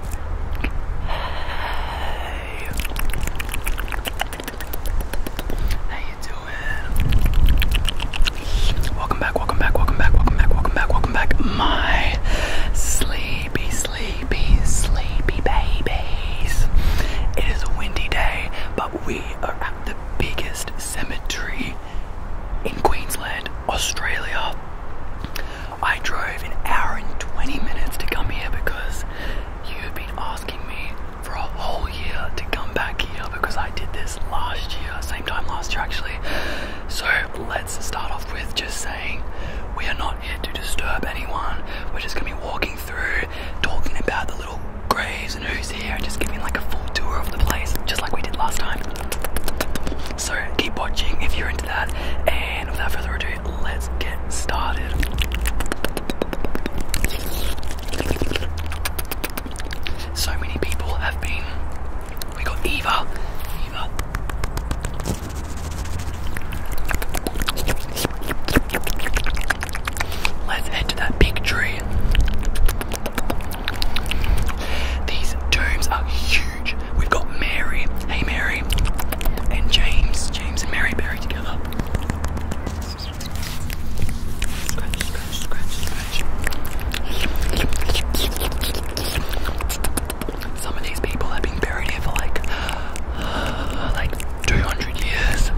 Welcome back, welcome back, welcome back, welcome back, welcome back, welcome back. My sleepy, sleepy, sleepy babies. It is a windy day, but we are at the biggest cemetery in Queensland, Australia. I drove an hour and 20 minutes to come here because you have been asking me for a whole year to come back here because I did this last year, same time last year actually. So let's start off with just saying we are not here to disturb anyone. We're just gonna be walking through, talking about the little graves and who's here, and just giving like a full tour of the place, just like we did last time. So keep watching if you're into that. And without further ado, let's get started. So many people have been. We got Eva. Eva. Let's head that big tree. These tombs are huge. We've got Mary, hey Mary, and James, James and Mary buried together. Scratch, scratch, scratch, scratch. Some of these people have been buried here for like, like 200 years.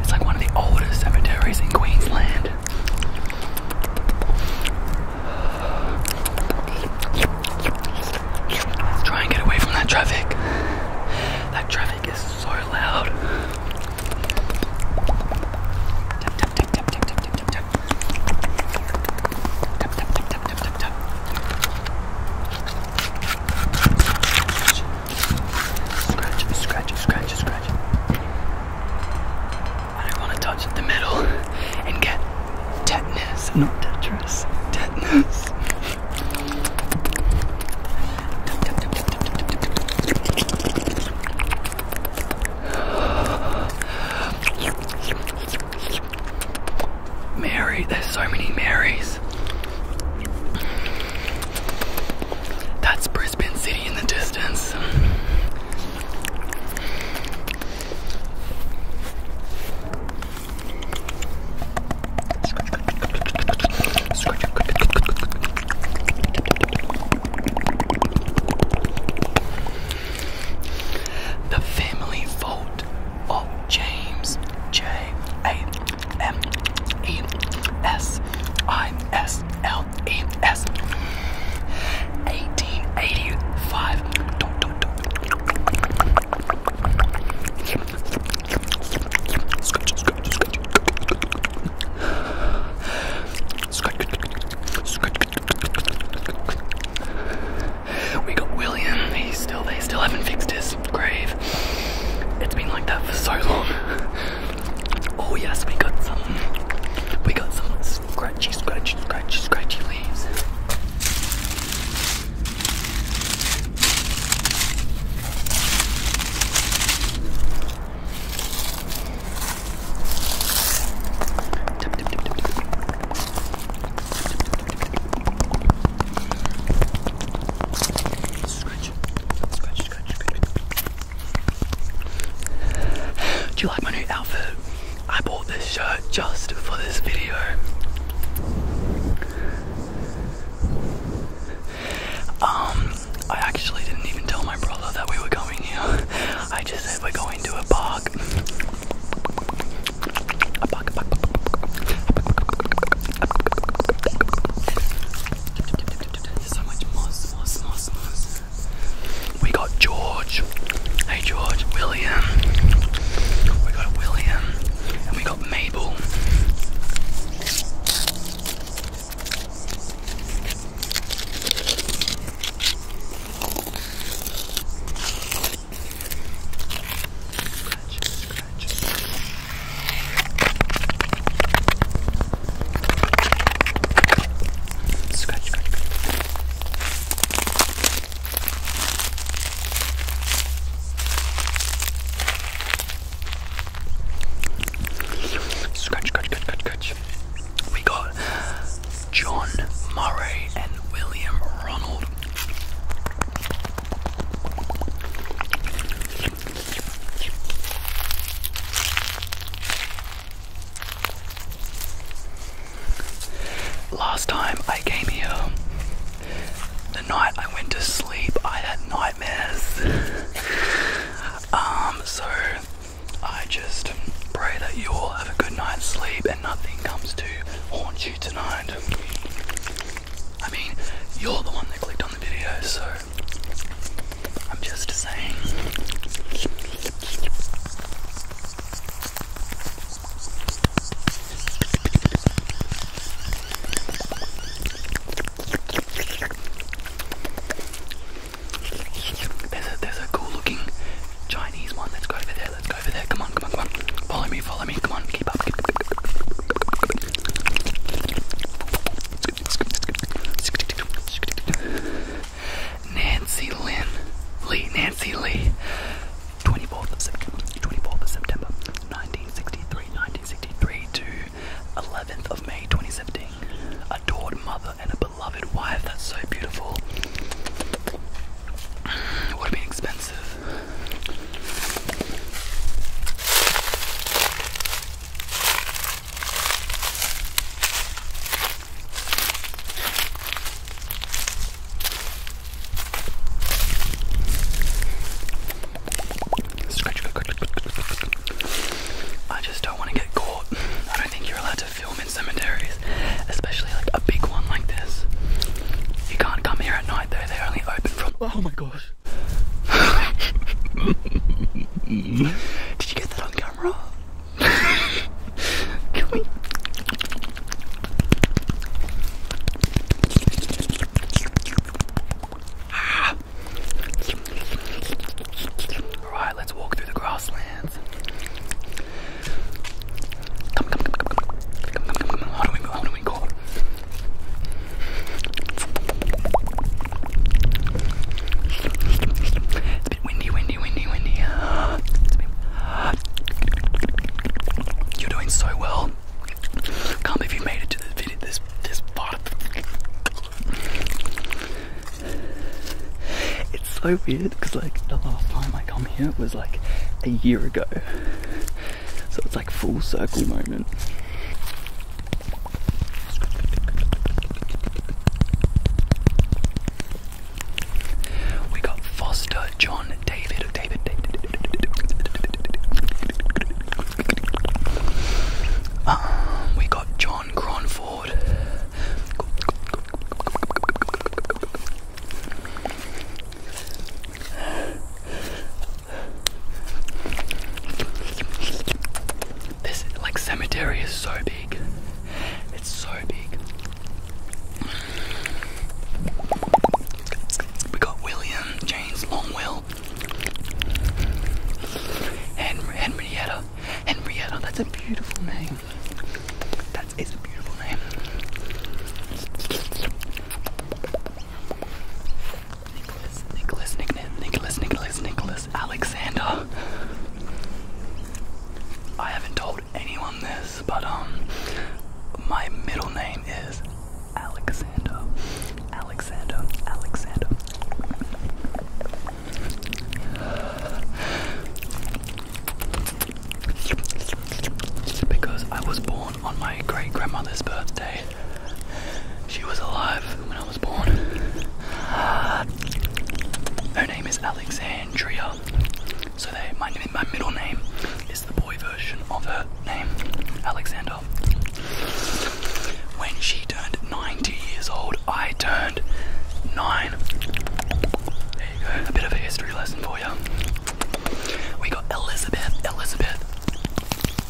It's like one of the oldest cemeteries in Queensland. Try and get away from that traffic. That traffic is so loud. Tap Scratch, scratch, scratch, scratch. I don't want to touch the metal and get Tetanus, not Tetris. Tetanus. Mary, there's so many Marys. That's Brisbane City in the distance. The family vote of James J A M E S I S L E S 1885. We got William. He's still. They still haven't fixed his grave. It's been like that for so long. Oh yes, we got some. We got some scratchy, scratchy, scratchy, scratchy leaves. Scratch. Scratch, scratch, scratch. Do you like my new outfit? I bought this shirt just for this video. Um, I actually didn't even tell my brother that we were going here. I just said we're going to a park. We got George. Hey George, we William, we got William, and we got Mabel. Scratch, scratch. Scratch, scratch, scratch. Scratch, scratch, scratch, scratch, scratch. We got John Murray and William Ronald. Last time I came here, the night I went to sleep, I had nightmares. um, so I just pray that you all have a good night's sleep and nothing comes to haunt you tonight. I mean, you're the one that clicked on the video, so I'm just saying. There's a there's a cool looking Chinese one. Let's go over there. Let's go over there. Come on, come on, come on. Follow me, follow me. Come on, keep up. Nancy Lynn. Lee, Nancy Lee. 24th of September, 24th of September 1963, 1963 to 11th of May 2017. Adored mother and a beloved wife. That's so beautiful. It would have expensive. I just don't want to get caught. I don't think you're allowed to film in cemeteries, especially like a big one like this. You can't come here at night though, they only open from. Oh my gosh. Did you get that on camera? Can we? Ah. Alright, let's walk through the grasslands. Come, come, come, come, come. Come, come, come, come. How do we go? How do we go? It's a bit windy, windy, windy, windy. You're doing so well. Can't believe you made it to this part. It's so weird because like the last time I come here was like a year ago, so it's like full circle moment. We got Foster John David, David, David, um, we got John Cronford, this like cemetery is so big, it's so big. We got William, James Longwell, and Henrietta. Henrietta, that's a beautiful name. That is a beautiful name. Nicholas, Nicholas, Nicholas, Nicholas, Nicholas, Nicholas, Alexander. I haven't told anyone this but um, my middle name is Alexander. Alexander. Alexander. Because I was born on my great grandmother's birthday. She was alive when I was born. Her name is Alexandria. So they, my, middle name is the boy version of her name, Alexander. When she turned 90 years old, I turned 9. There you go, a bit of a history lesson for you. We got Elizabeth, Elizabeth,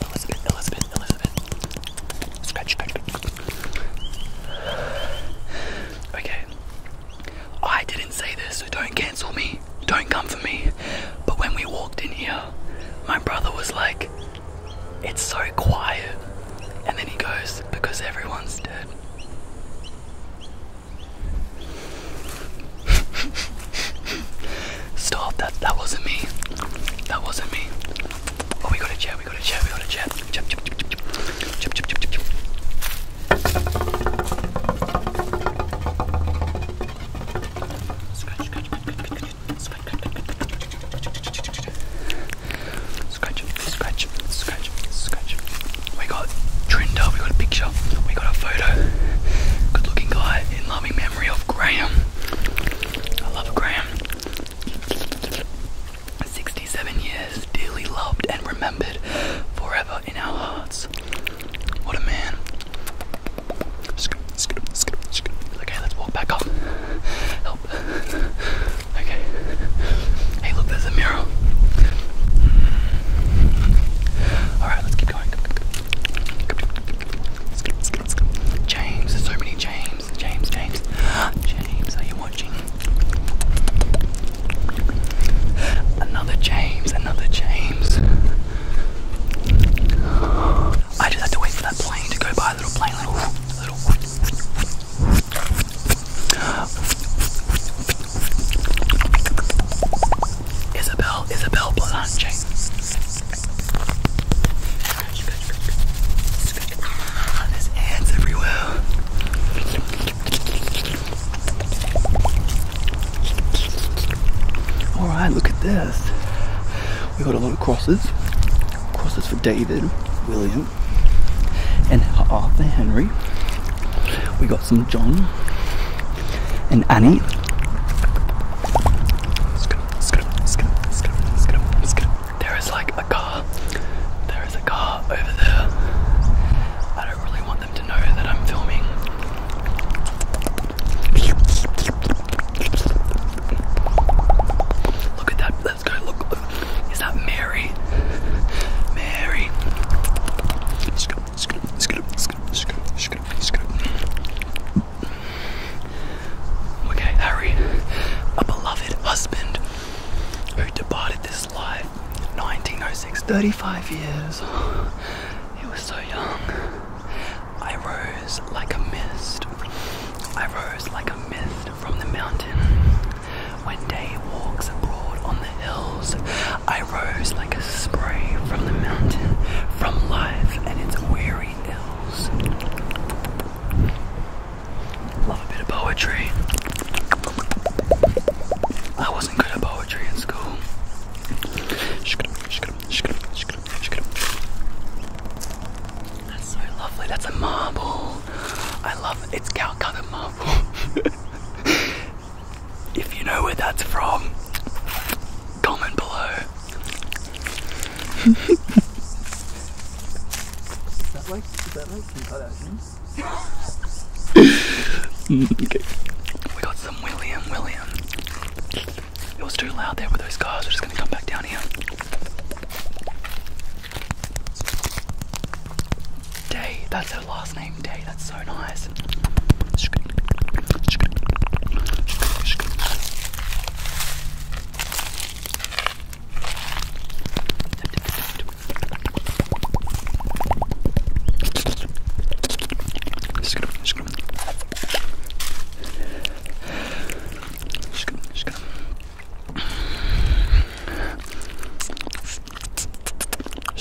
Elizabeth, Elizabeth, Elizabeth. Scratch, scratch, scratch. Okay, I didn't say this, so don't cancel me. Don't come for me. But when we walked in here, my brother was like, It's so quiet. And then he goes, Because everyone's dead. Stop, that that wasn't me. That wasn't me. Oh we got a chair, we got a chair, we got a chair. Scratch, scratch, scratch, scratch, scratch. We got Trinder, we got a picture, we got a photo. Good looking guy in loving memory of Graham. I love Graham. 67 years, dearly loved and remembered forever in our hearts. What a man. Okay, let's walk back up. Help. Okay. Hey, look, there's a mirror. Alright, let's keep going. James, there's so many James. James, James. James, are you watching? Another James, another James. I just had to wait for that plane to go by. Little plane, little, little. Isabel, Isabel Blanche. There's ants everywhere. All right, look at this. We got a lot of crosses. Crosses for David, William, and Arthur Henry. We got some John and Annie. There is like a car. There is a car over there. I don't really want them to know that I'm filming. Look at that. Let's go. Look. look. Is that Mary? Mary. Okay, Harry, a beloved husband who departed this life in 1906, 35 years it was so young. I rose like a mist. I rose like a mist from the mountain. When day walks abroad on the hills, I rose like a spray from the mountain, from life and its weary ills. Love a bit of poetry. I wasn't good at poetry in school. That's so lovely. That's a marble. I love it. It's Calcutta marble. if you know where that's from, comment below. is that like is that like Kim Kardashian? okay. We got some William William. It was too loud there with those cars. We're just gonna come back down here. Day, that's her last name, Day. That's so nice. Just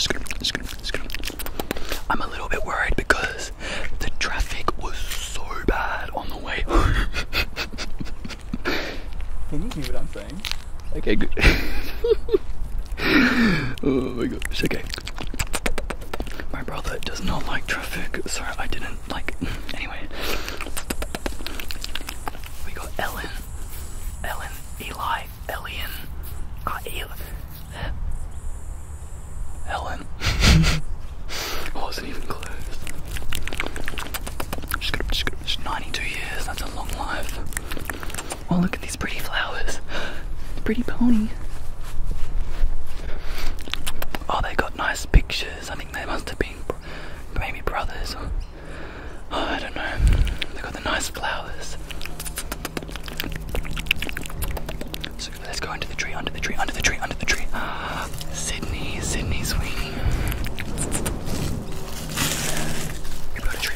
gonna, gonna, gonna, going I'm a little bit worried because the traffic was so bad on the way home. Can you hear what I'm saying? Okay, good. oh my gosh, okay. My brother does not like traffic, Sorry, I didn't like. Anyway, we got Ellen, Ellen, Eli, Elian, uh, El uh, Ellen. Oh, wasn't even close. 92 years. That's a long life. Oh, look at these pretty flowers. Pretty pony. Oh, they got nice pictures. I think they must have been maybe brothers Oh, I don't know. They got the nice flowers. So let's go under the tree, under the tree, under the tree, under the tree. Sydney, Sydney Sweeney. We got tree.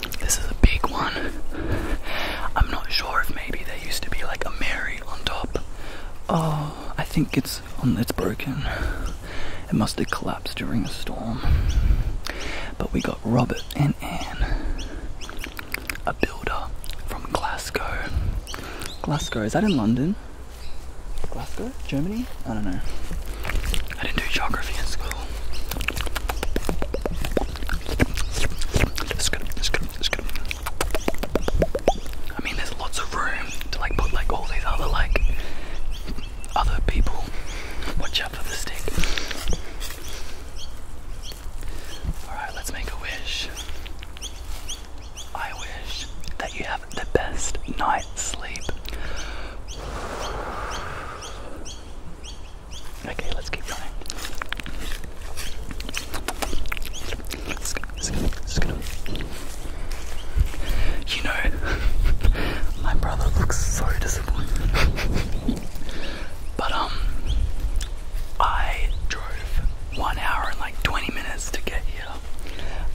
This is a big one. I'm not sure if maybe there used to be like a Mary on top. Oh, I think it's on. Um, it's broken. It must have collapsed during a storm. But we got Robert and Anne, a builder from Glasgow. Glasgow is that in London? Glasgow, Germany? I don't know. I didn't do geography in school. I mean, there's lots of room to like put like all these other like other people. Watch out for the stick. Alright, let's make a wish. I wish that you have the best night's sleep. Okay, let's keep going. You know, my brother looks so disappointed. but um, I drove one hour and like 20 minutes to get here.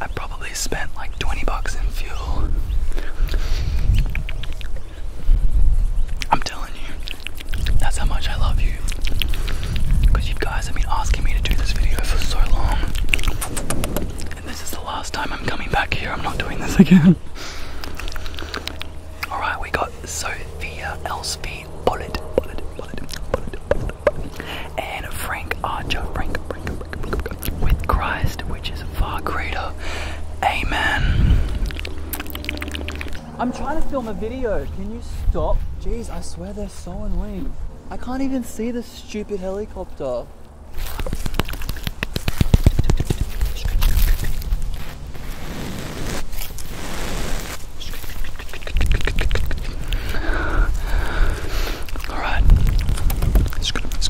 I probably spent like 20 bucks in fuel. I'm telling you, that's how much I love you. Because you guys have been asking me to do this video for so long. And this is the last time I'm coming back here. I'm not doing this again. Alright, we got Sophia Elspie Bullet, Bullet, Bullet, Bullet, and Frank Archer, with Christ, which is far greater. Amen. I'm trying to film a video. Can you stop? Jeez, I swear they're so annoying. I can't even see the stupid helicopter. All right.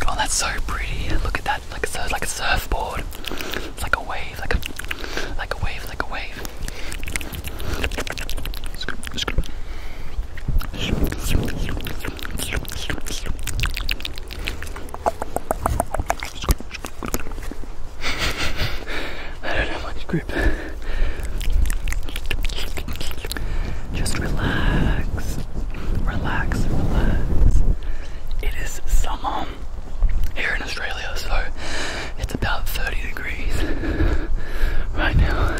Oh, that's so pretty. Look at that like so like a surfboard. It's like a wave, like a like a wave, like a wave. I don't have much grip. Just relax, relax, relax. It is summer here in Australia, so it's about 30 degrees right now.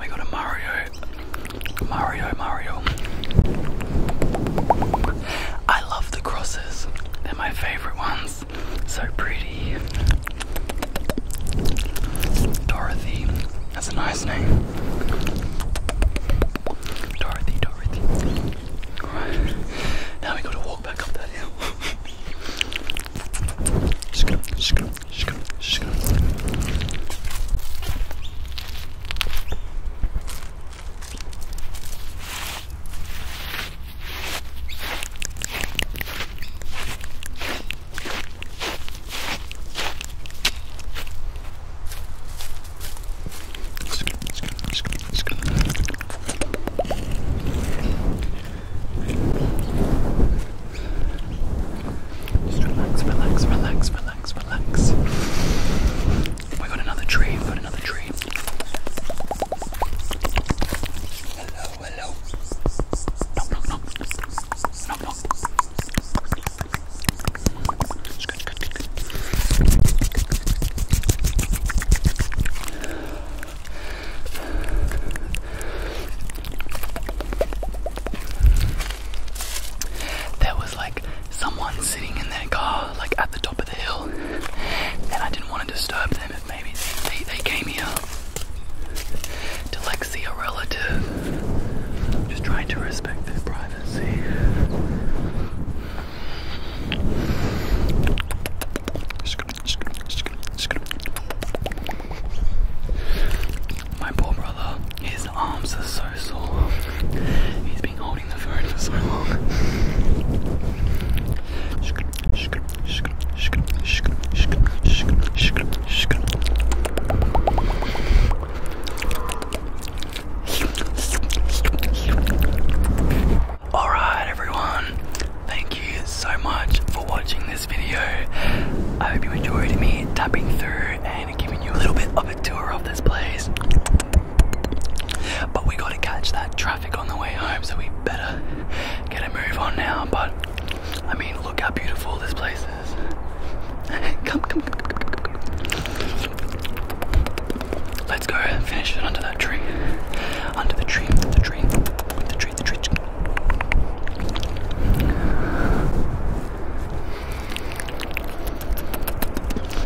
We got a Mario, Mario, Mario. I love the crosses, they're my favorite ones. So pretty. Dorothy, that's a nice name. Dorothy, Dorothy. Right. Now we gotta walk back up that hill. Skip, skip, skip, skip relax, relax, relax, relax, oh relax. We got another tree, we got another tree. There was like someone sitting in their car, like at the top of the hill, and I didn't want to disturb them if maybe they, they came here to like see a relative. Just trying to respect their privacy. My poor brother, his arms are so sore. He's been holding the phone for so long. Alright, everyone. Thank you so much for watching this video. I hope you enjoyed me tapping through and giving you a little bit of a tour of this place. But we gotta catch that traffic on the way home, so we better get a move on now. But I mean, look how beautiful this place is. come, come, come, come, come, come. Let's go finish it under that tree. Under the tree, the tree, the tree, the tree.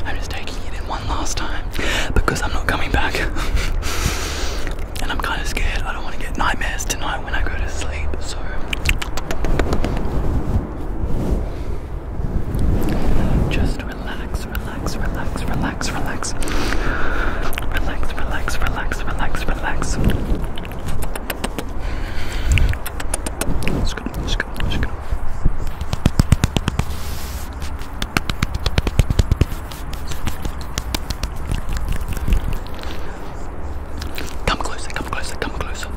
I'm just taking it in one last time because I'm not coming back. and I'm kind of scared. I don't want to get nightmares tonight when I go to sleep, so. Just relax, relax, relax, relax, relax. Relax, relax, relax, relax, relax. Let's go, let's go, let's go. Come closer, come closer, come closer. One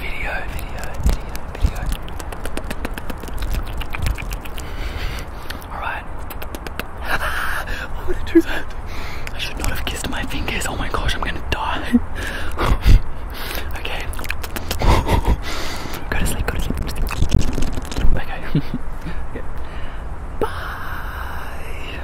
Video, video, video, video. Alright. Why would I do that? I should not have kissed my fingers. Oh my gosh, I'm gonna die. okay. go to sleep, go to sleep. Okay. okay. Bye.